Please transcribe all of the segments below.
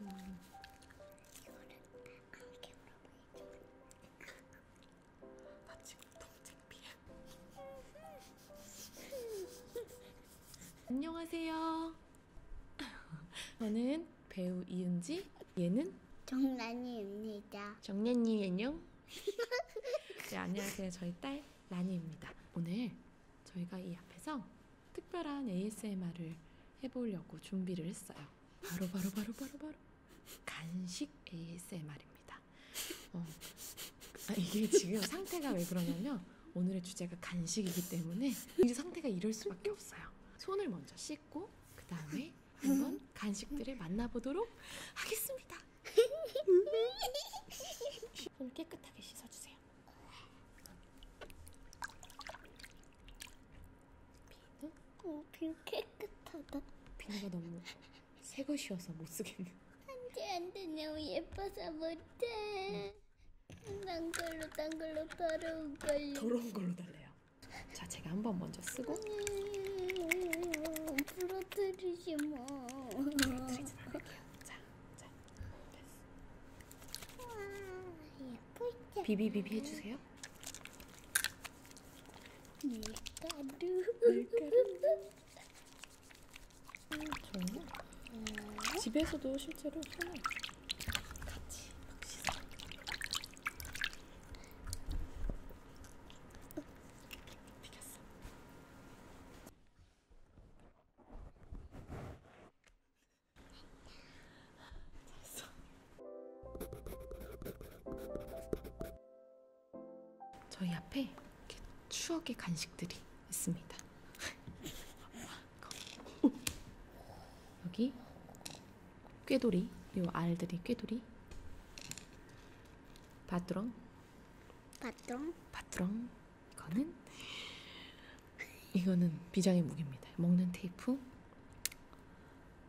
음. 이거는 아무게 물어보이지만 나 지금 너무 창피해 안녕하세요 저는 배우 이은지 얘는 정란이입니다 정란이 안녕 네, 안녕하세요 저희 딸 라니입니다 오늘 저희가 이 앞에서 특별한 ASMR을 해보려고 준비를 했어요. 바로 바로 바로 바로 바로 간식 ASMR입니다. 어, 아, 이게 지금 상태가 왜 그러냐면 오늘의 주제가 간식이기 때문에 이 상태가 이럴 수밖에 없어요. 손을 먼저 씻고 그 다음에 한번 간식들을 만나보도록 하겠습니다. 손을 깨끗하게 씻어주세요. 비누? 어, 비누 깨끗하다. 비누가 너무 새 것이어서 못 쓰겠네. 안돼 안돼 너무 예뻐서 못해. 난 걸로 난 걸로 더러운 걸로. 더러운 걸로 달래요. 자 제가 한번 먼저 쓰고. 음, 부러뜨리지 마. 부러뜨리지 말게요. 자. 자, 됐어. 비비비비 해주세요. 밀가루. 밀가루. 좋네. 음. 집에서도 실제로 손을 같이 막 씻어. 비겼어. 저희 앞에 이렇게 추억의 간식들이 있습니다. 여기 꾀돌이, 요 알들이 꾀돌이, 바트롱, 바트롱, 바트롱. 이거는 이거는 비장의 무기입니다. 먹는 테이프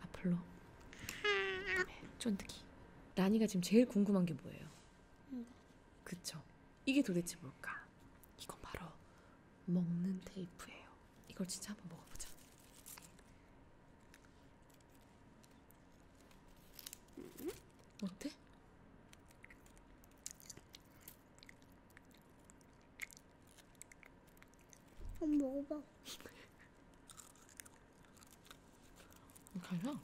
아플로 네, 쫀득이 나니가 지금 제일 궁금한 게 뭐예요? 응. 그쵸? 이게 도대체 뭘까? 이건 바로 먹는 테이프예요. 이걸 진짜 한번 먹어보자. 어때? 좀 먹어봐. 가면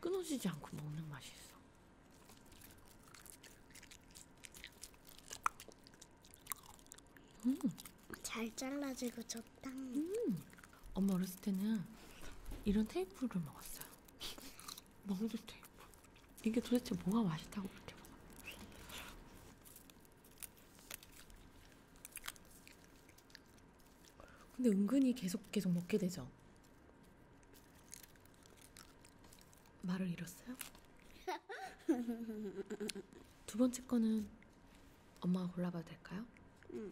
끊어지지 않고 먹는 맛이 있어. 음. 잘 잘라지고 좋다. 음. 엄마 어렸을 때는 이런 테이프를 먹었어요. 너무 좋다 이거. 이게 도대체 뭐가 맛있다고 그렇게 먹어? 근데 은근히 계속 계속 먹게 되죠. 말을 잃었어요? 두 번째 거는 엄마가 골라봐도 될까요? 음.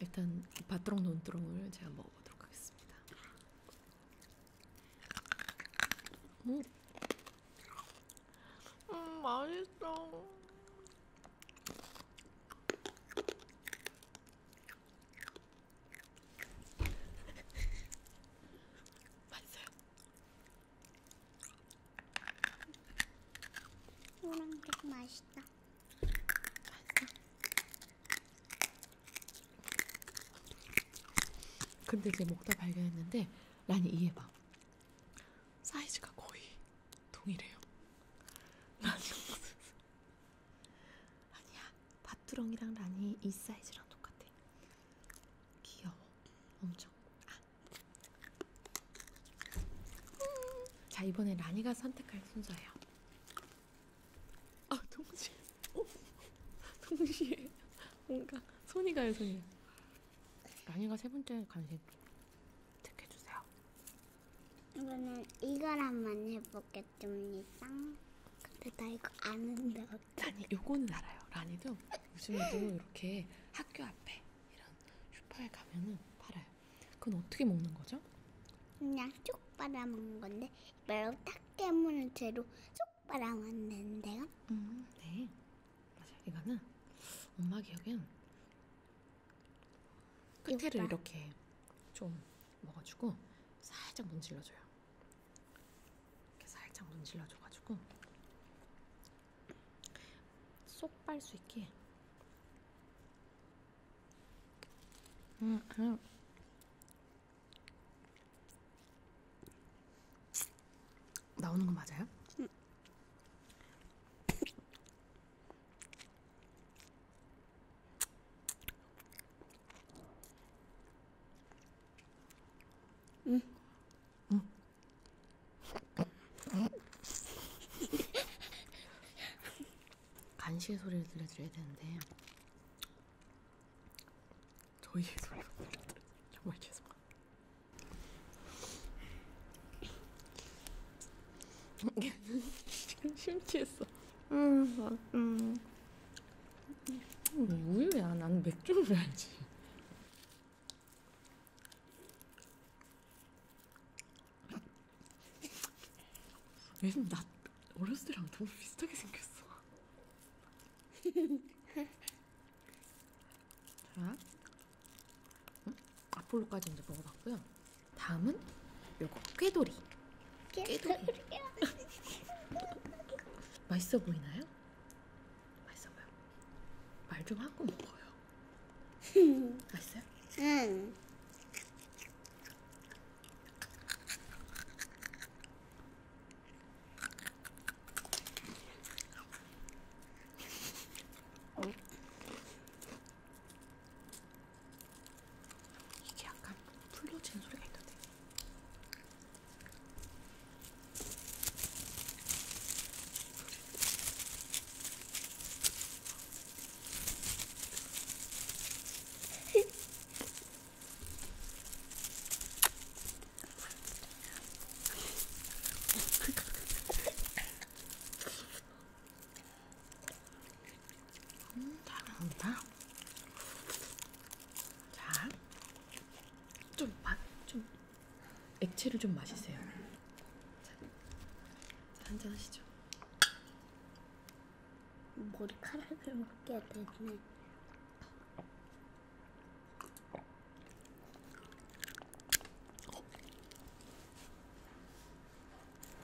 일단 바트롱 논두렁을 제가 먹어보도록 하겠습니다. 음, 음 맛있어. 맛있어요. 오랑백 맛있다. 근데 이제 먹다 발견했는데 라니 이해봐 사이즈가 거의 동일해요 라니 아니야 밭두렁이랑 라니 이 사이즈랑 똑같아 귀여워 엄청 아. 자 이번에 라니가 선택할 순서예요 아 동시에 오, 어? 동시에 뭔가 손이 가요 손이 랑이가 세 번째 간식 택해주세요 이거는 이걸 한번 해보겠습니다 근데 나 이거 아는데 어떡해 아니 요거는 알아요 라니도 요즘에도 이렇게 학교 앞에 이런 슈퍼에 가면은 팔아요 그건 어떻게 먹는 거죠? 그냥 쭉 빨아먹는 건데 이빨로 딱 깨무는 채로 쭉 빨아먹는데요. 음, 네. 맞아요. 이거는 엄마 기억엔 끝에를 육발. 이렇게 좀 먹어주고 살짝 문질러줘요. 이렇게 살짝 문질러줘가지고 쏙 빨 수 있게 음, 음. 나오는 거 맞아요? 음. 응. 응. 간식의 소리를 들려드려야 되는데 저희의 소리만 들려드려 정말 죄송합니다. 지금 심취했어. 음, 막, 뭐, 음. 음. 우유야. 나는 맥주를 알지. 요즘 나 어렸을 때랑 너무 비슷하게 생겼어. 자, 응? 음, 아폴로까지 이제 먹어봤고요. 다음은 요거 꾀돌이. 꾀돌이. 맛있어 보이나요? 맛있어 보여. 말 좀 하고 먹어요. 맛있어요? 응. 이게 약간 풀로 친 소리가 있던데. 음, 잘 나온다. 자, 좀 맛, 좀 액체를 좀 마시세요. 자, 한잔 하시죠. 머리카락을 먹게 되네.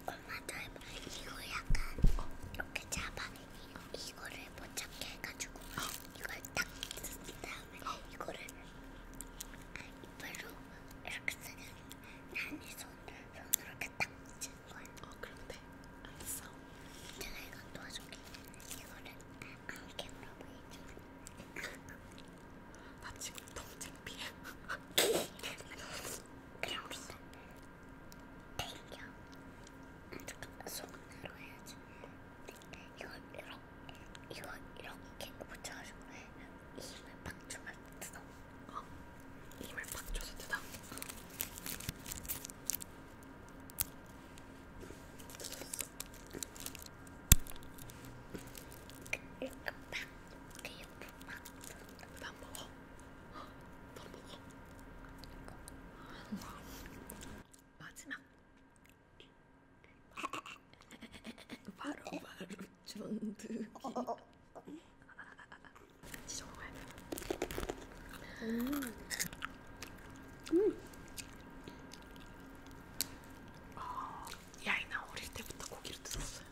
엄마 닮아 이거 약간 이렇게 잡아 이거, 이거를 못 잡게 해가지고 이걸 딱 뜯은 다음에 이거를 아, 이빨로 이렇게 쓰는 난이 손을 그럼 그렇게 딱 붙일 거야. 어, 그럼 돼. 알았어. 내가 이건 도와줄게. 이거를 안 깨물어봐, 이쪽나 지금 너무 창피해. 그럼 우리 땡겨. 잠깐만, 손으로 해야지. 이걸 이렇게, 이걸 이렇게 붙여가지고 힘을 팍 주면 뜯어. 어? 힘을 팍 줘서 뜯어. 이렇게 팍, 그 옆으로 팍. 난 먹어. 난 먹어. 마지막. 바로 바로. 전득이 어, 어, 어. 같이 적어봐야 돼요 음. 음. 어, 이 아이나 어릴 때부터 고기를 뜯었어요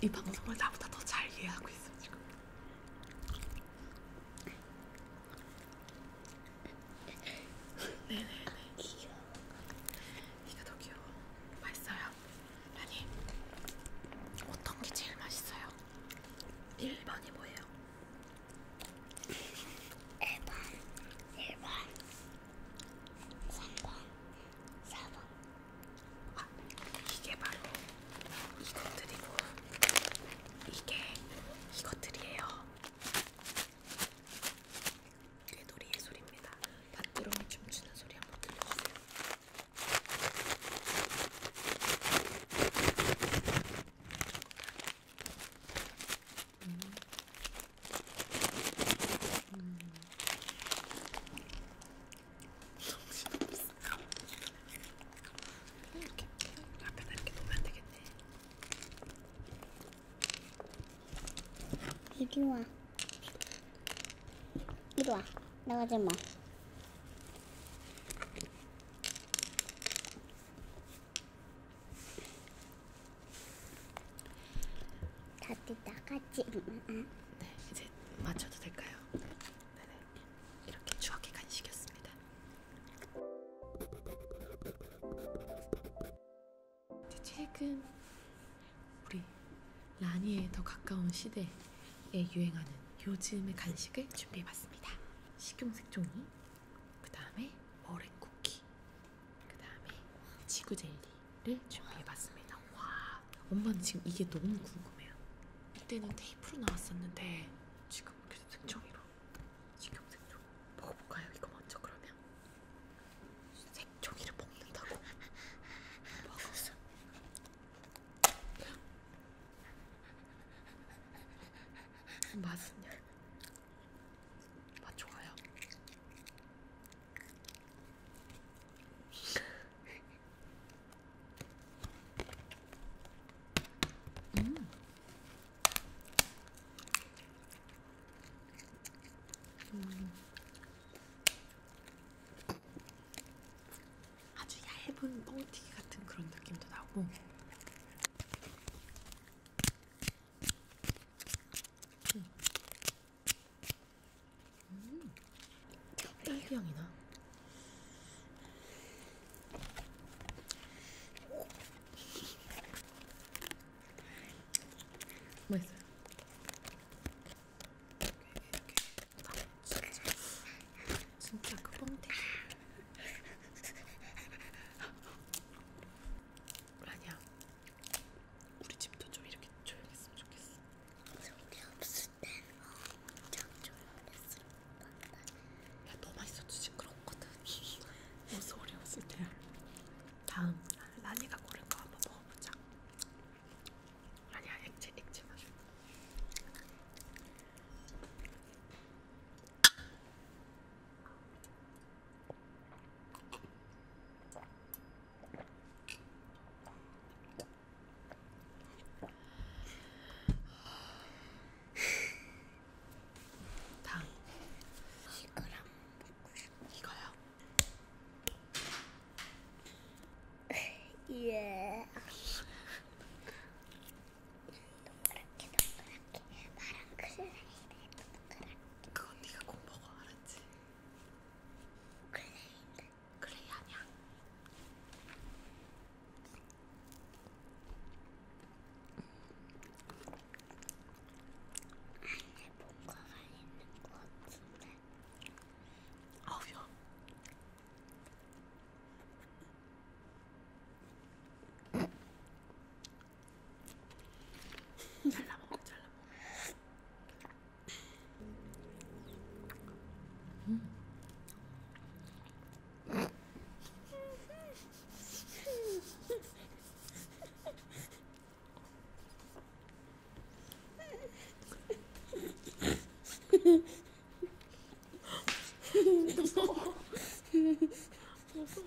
이 방송을 나보다 더 잘 이해하고 있어 지금 네네네. 귀여워. 이게 더 귀여워. 맛있어요. 아니 어떤 게 제일 맛있어요? 1번이 뭐예요? 1번, 1번, 3번, 4번. 아, 이게 바로 이것들이고, 이게 이것들이에요. 궤돌이의 소리입니다. 밭두렁이 춤추는 소리 한 번 들려주세요. 음. 음. 이렇게 앞에다 이렇게 놓으면 되겠네. 이리 와. 이리 와. 나가지 마. 다들 나가지 마. 음, 음, 음. 네, 이제 맞춰도 될까요? 네네. 이렇게 추억의 간식이었습니다. 최근 우리 라니에 더 가까운 시대에 유행하는 요즘의 간식을 준비해봤습니다. 식용색종이, 그 다음에 머랭 쿠키, 그 다음에 지구 젤리를 준비해봤습니다. 와, 엄마는 지금 이게 너무 궁금해요. 이때는 테이프로 나왔었는데 지금 그래서 색종이로 식용색종 먹어볼까요? 이거 먼저 그러면. 색종이를 먹는다고 먹었어. 맛은요? 맛 좋아요. 음. 음. 아주 얇은 뻥튀기 같은 그런 느낌도 나고 음. 음. 딸기 향이 나. 맛있어요. 이렇게 이렇게. 아, 진짜 진짜 그 뻥튀기. 아니야. 우리 집도 좀 이렇게 조용했으면 좋겠어. 우리 없을 땐 엄청 조용했을 건데. 야 너만 있어도 시끄럽거든. 뭐 소리 없을 때야. 다음 라니가 고른 거 한번 먹어보자. 아니야 액체 액체 맛. 당. 이거랑 먹고 싶어. 이거요. 예. 동그랗게 동그랗게 파랑 클레인에 동그랗게. 그건 네가 꼭 먹어 알았지? 클레인. 클레이 아니야. 안에 뭔가가 있는 것 같은데. 아우야. 잘라 먹어, 잘라 먹어. 음. 무서워. 무서워.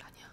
아니야.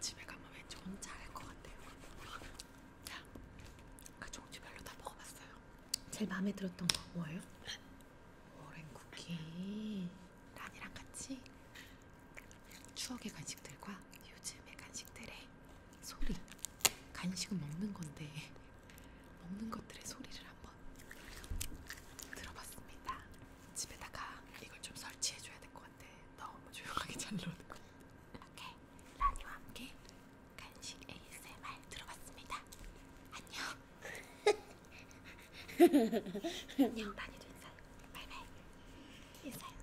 집에 가면 왠지 혼자 할것 같아요. 자, 아까 그 종지별로 다 먹어봤어요. 제일 마음에 들었던 거 뭐예요? 오렌 쿠키. 란이랑 같이 추억의 간식들과 요즘의 간식들의 소리. 간식은 먹는 건데 먹는 것들의 소리를 한번 들어봤습니다. 집에다가 이걸 좀 설치해줘야 될것 것 같아. 너무 조용하게 잘 노는 것 같아. 오케이. 라니와 함께 간식 ASMR 들어봤습니다. 안녕. 안녕. 라니도 인사해. 바이바이. 인사해. 안녕.